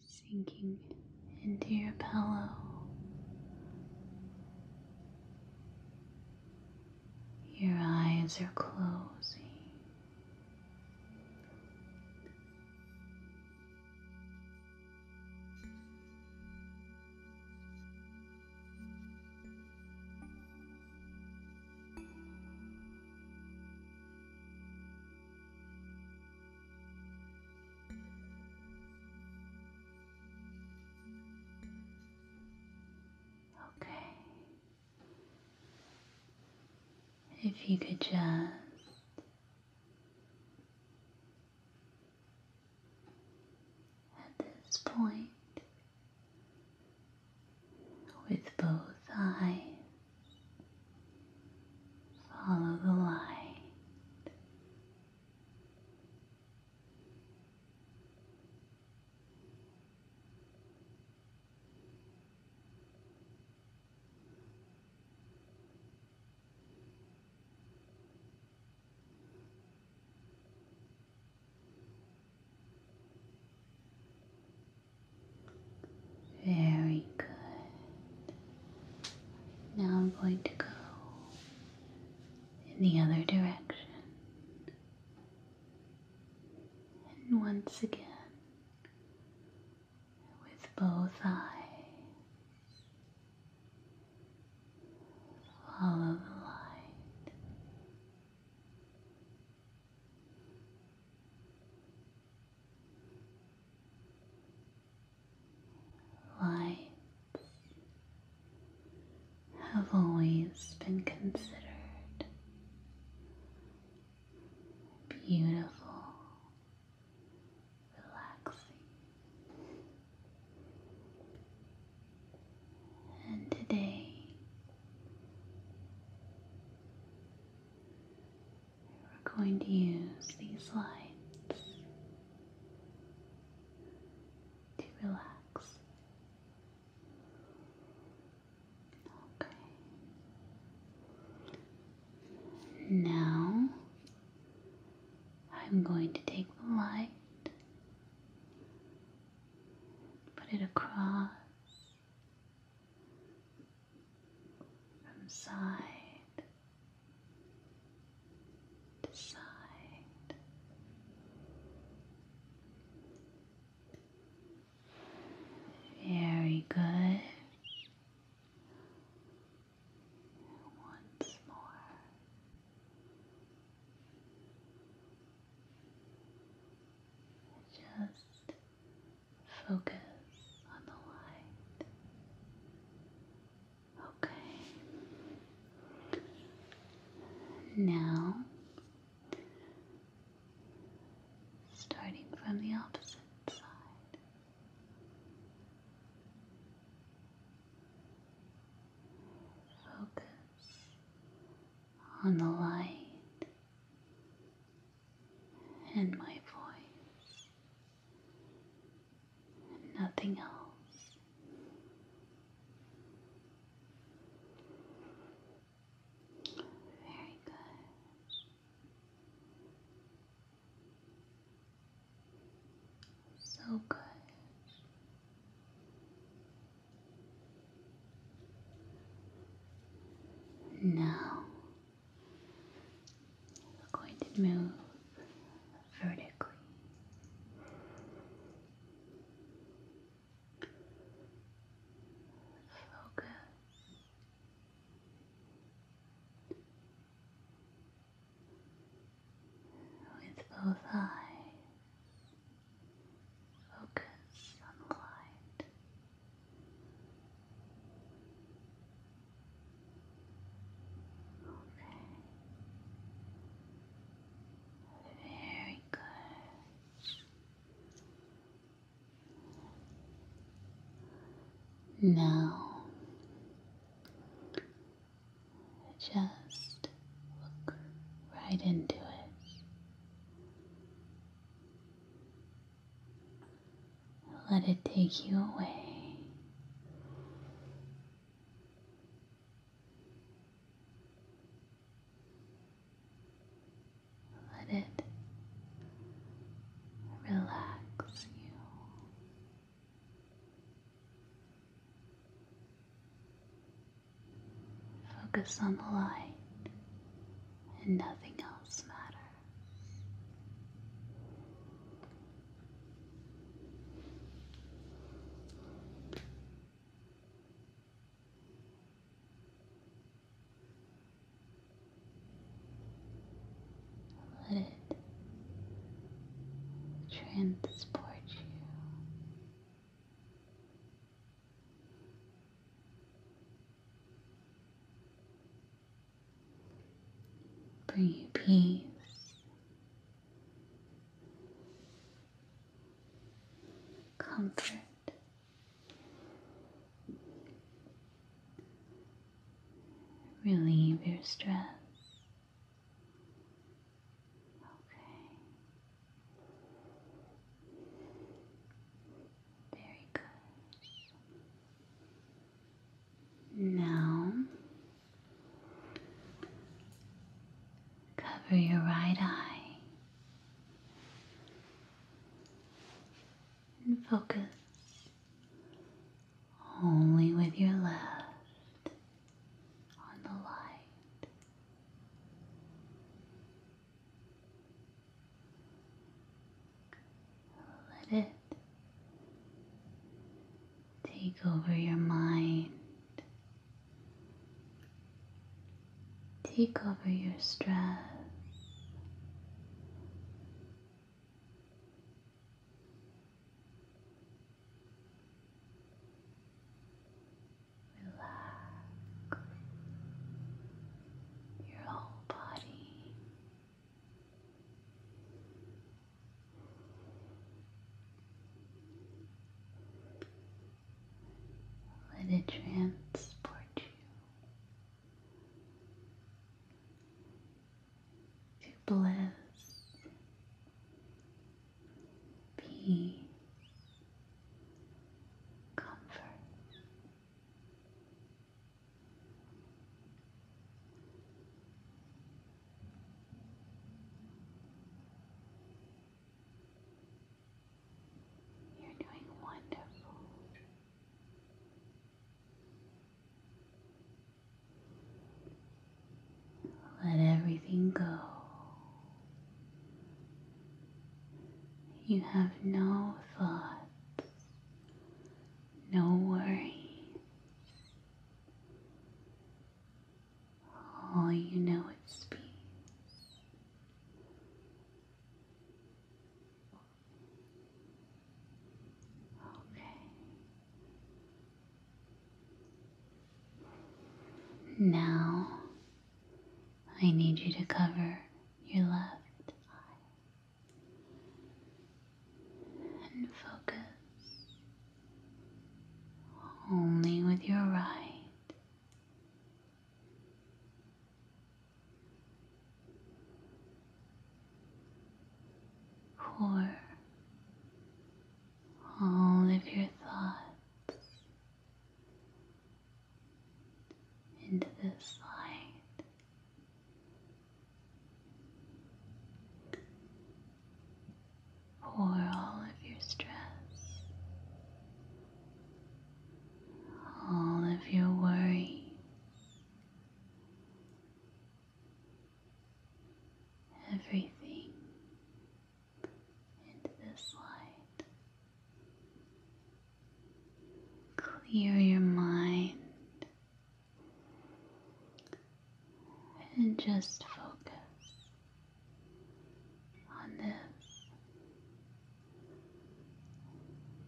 sinking into your pillow. Your eyes are closing. Okay. If you could just at this point, with both eyes Follow the light. Very good. Now I'm going to go in the other direction. And once again, with both eyes, follow the light. Lights have always been considered beautiful, relaxing, and today we're going to use these lights to relax. Okay. Now I'm going to take the light, put it across from side to side. Very good. Once more. Just Focus on the light. Okay. Now, starting from the opposite side, focus on the light and my voice, nothing else. Very good. So good. Now we're going to move vertically. Focus with both eyes Focus on the light. Okay. Very good. Now, just look right into it. Let it take you away. Let it relax you. Focus on the light, and nothing else matters. Let it transport you Bring you peace. Comfort. Relieve your stress. Okay. There it Now, cover your right eye and focus only with your left on the light. Let it take over your mind, take over your stress. Relax your whole body. Let it transport you to bliss, peace, comfort. You're doing wonderful. Let everything go. You have no thoughts, no worries. All you know is peace. Okay. Now I need you to cover your left eye and focus only with your right. Pour all of your thoughts into this light. Pour all of your stress, all of your worries, everything into this light. Clear your mind and just focus on this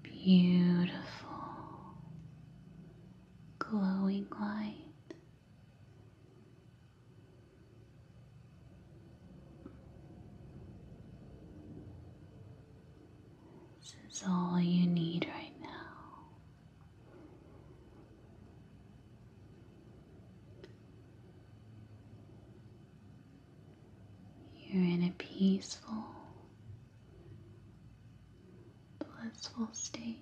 beautiful glowing light this is all you need right now. You're in a peaceful, blissful state.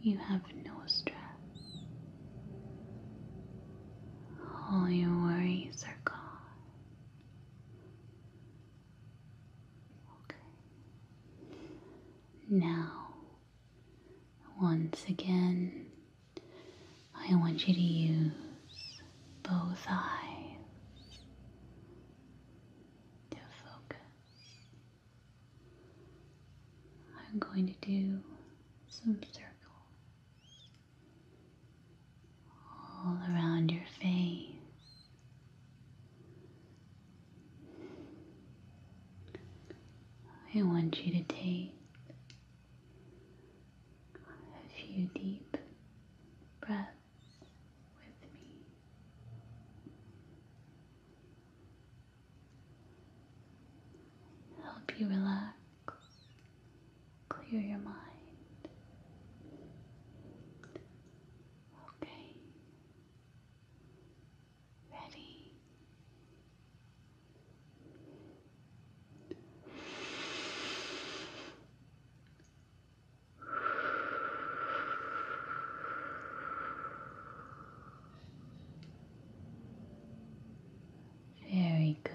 You have no stress. All your worries are gone. Okay. Now, once again, I want you to use both eyes to focus I'm going to do some circles all around your face. I want you to take a few deep breaths with me help you relax, clear your mind. Okay. Ready. Very good.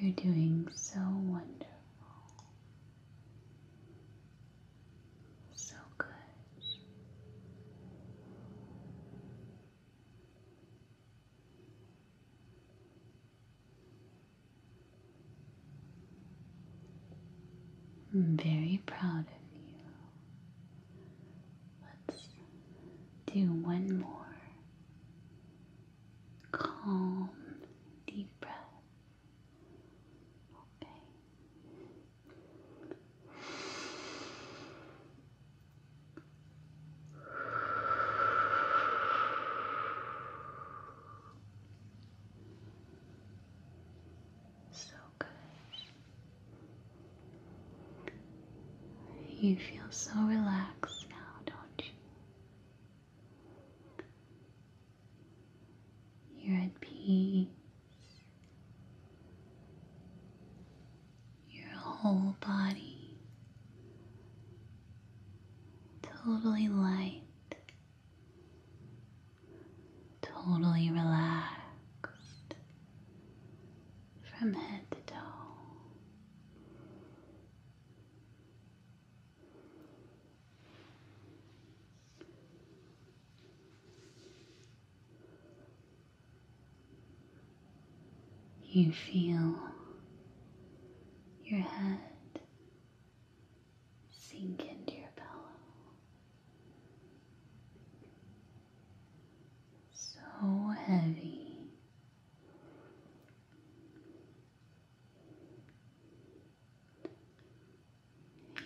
You're doing so wonderful. So good. I'm very proud of you. Let's do one more calm, deep breath. So good. You feel so relaxed now, don't you? You're at peace. Your whole body totally light, totally relaxed from head to toe. You feel your head sink into your pillow. So heavy.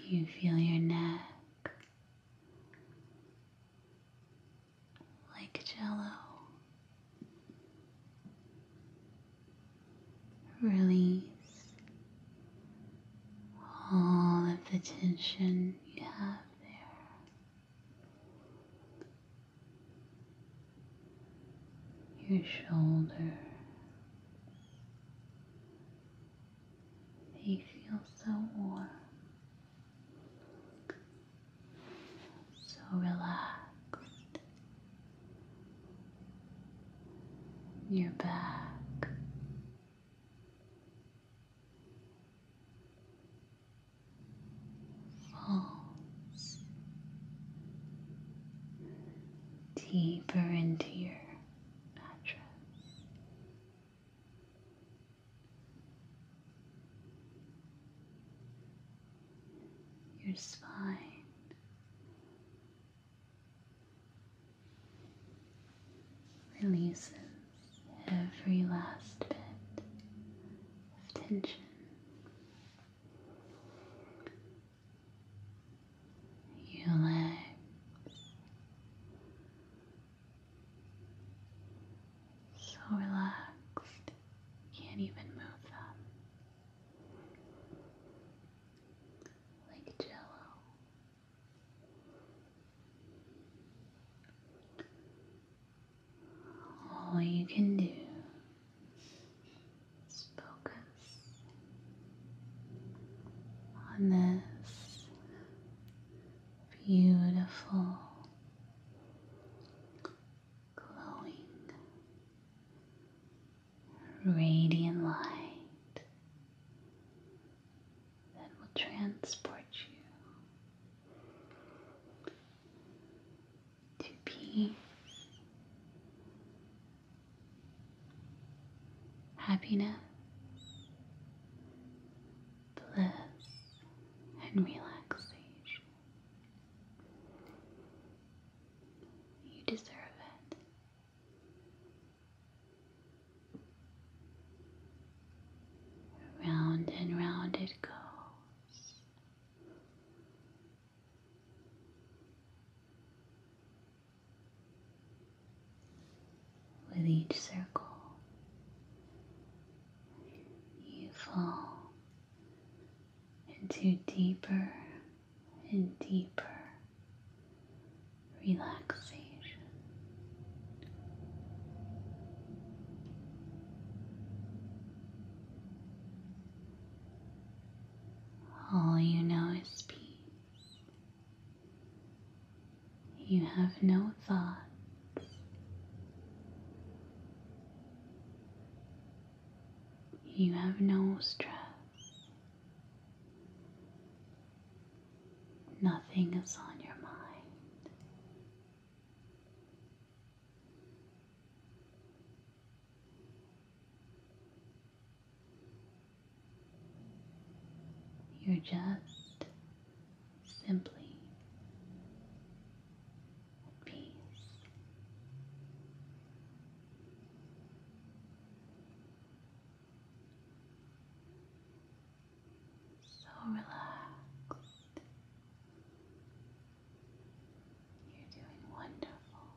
You feel your neck like jello release all of the tension you have there your shoulder. They feel so warm, so relaxed. Your back falls deeper into your mattress. Your spine releases every last bit of tension you legs. So relaxed, you can't even move them. Like jello all you can do is focus on this beautiful glowing radiant light that will transport you to peace, happiness, bliss, and relaxation. You deserve it. Round and round it goes. With each circle, you fall into deeper and deeper relaxation. All you know is peace. You have no thoughts. You have no stress. Nothing is on your mind. You're just simply at peace. So relaxed, you're doing wonderful.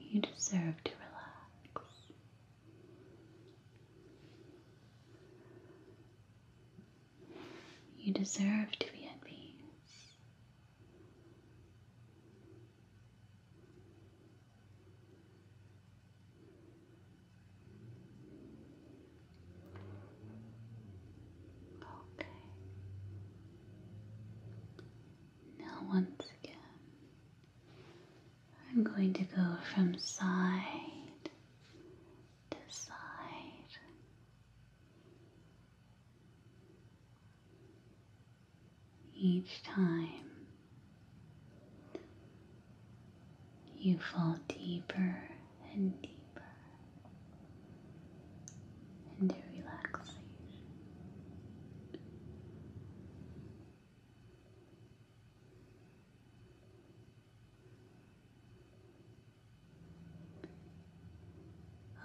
You deserve to relax. You deserve to be at peace. Okay. Now, once again, I'm going to go from side to side. Each time you fall deeper and deeper into relaxation.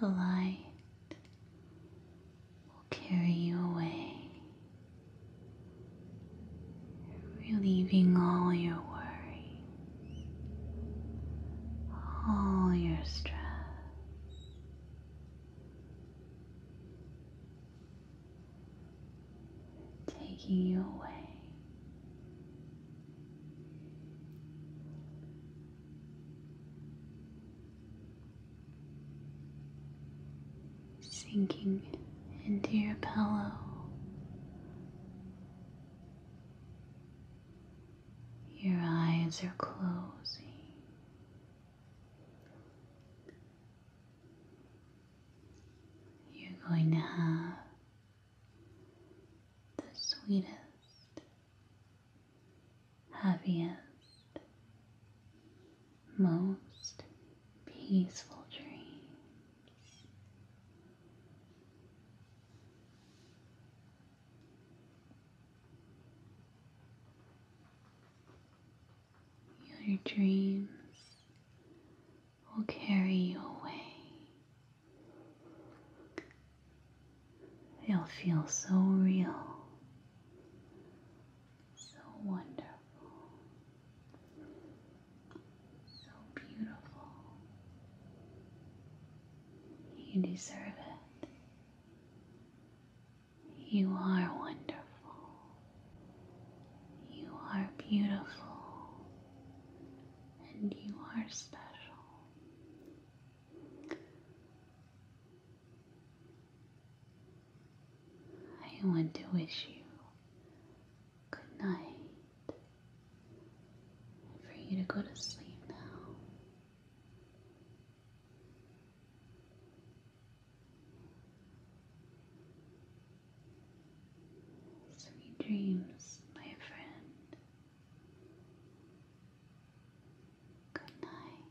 A light will carry you away relieving all your worry, all your stress. Taking you away. Sinking into your pillow your eyes are closing. You're going to have the sweetest, happiest, most peaceful dream. Your dreams will carry you away. They'll feel so real, so wonderful so beautiful. You deserve it. You are wonderful. You are beautiful. And you are special. I want to wish you good night, for you to go to sleep now. Sweet dreams, my friend. Good night.